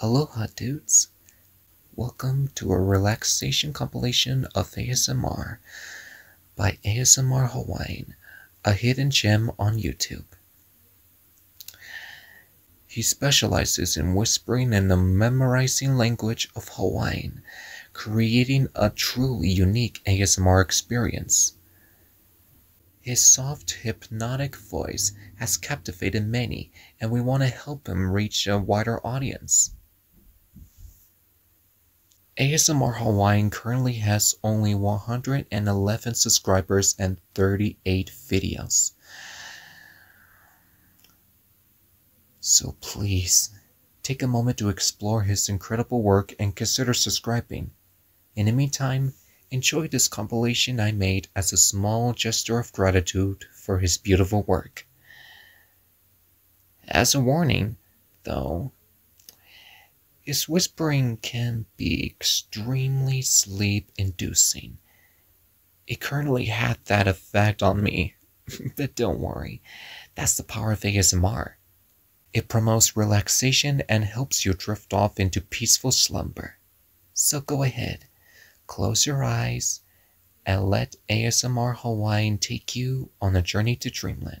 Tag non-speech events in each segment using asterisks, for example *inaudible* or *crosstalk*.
Aloha dudes! Welcome to a relaxation compilation of ASMR by ASMR Hawaiian, a hidden gem on YouTube. He specializes in whispering and the memorizing language of Hawaiian, creating a truly unique ASMR experience. His soft, hypnotic voice has captivated many, and we want to help him reach a wider audience. ASMR Hawaiian currently has only 111 subscribers and 38 videos. So please, take a moment to explore his incredible work and consider subscribing. In the meantime, enjoy this compilation I made as a small gesture of gratitude for his beautiful work. As a warning, though, his whispering can be extremely sleep inducing. It currently had that effect on me, *laughs* but don't worry, that's the power of ASMR. It promotes relaxation and helps you drift off into peaceful slumber. So go ahead, close your eyes, and let ASMR Hawaiian take you on a journey to dreamland.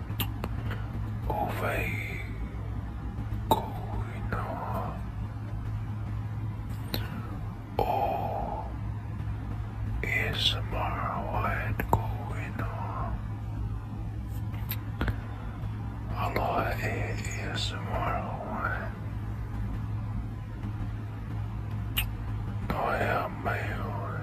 away going on oh is tomorrow going on a is tomorrow I am my own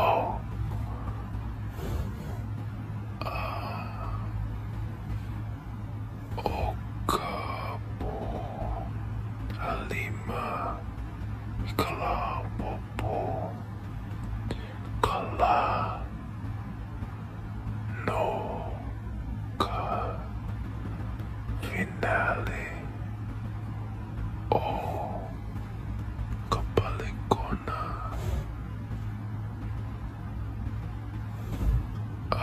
Oh. Uh. Okapo. Halima. Kalapopo. Kala. No. Ka. Finale. Oh, Kapalikona.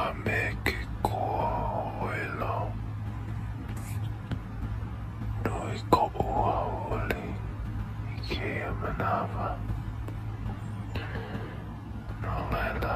Amekikoelo. Noiko uauli. Ikea manava. Nolela.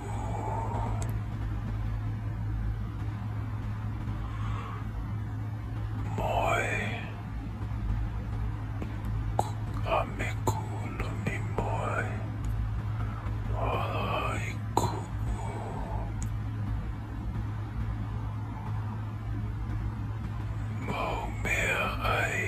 Moi Amekulumi moi Walaiku Mo mea ai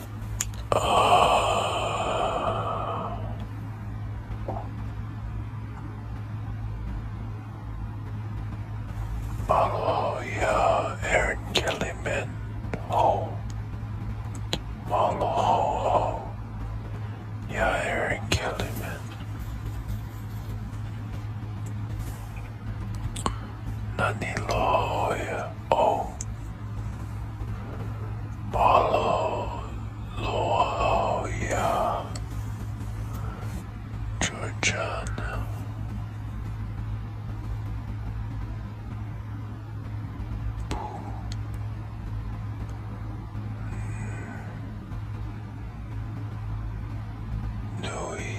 Uh, Aaron Kellyman, oh. Maloho, yeah, Aaron Kellyman. Naniloya O oh. Malo Loya oh. Georgian Boo mm. Nui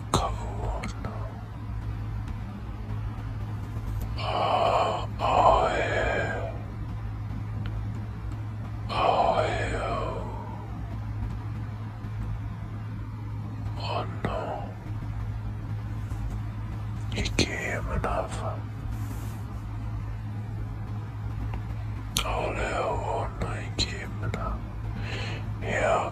cold. Oh, oh, yeah. Oh, yeah. oh no, he came another. Oh no, oh no, he came another. Yeah,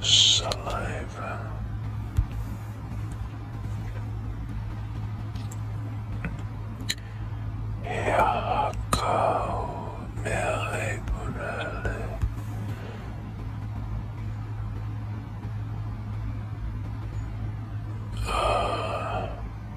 saliva. Yaco Meriburale Ah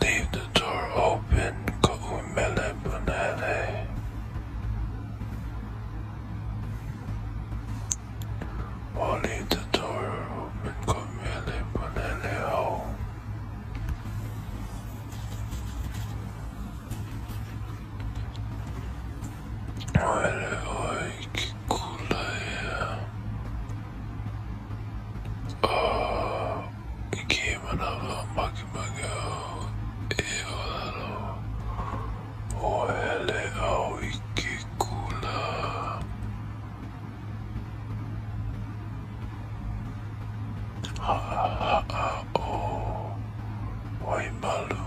Leave the door open come umele bunele. Or oh, leave the door open ko umele bunele ho. Oh. Where I kikula ya. Oh, came another Makimago, Eolalo, Oele Aoikikula. Ha ha ha ha, oh, Waimalu.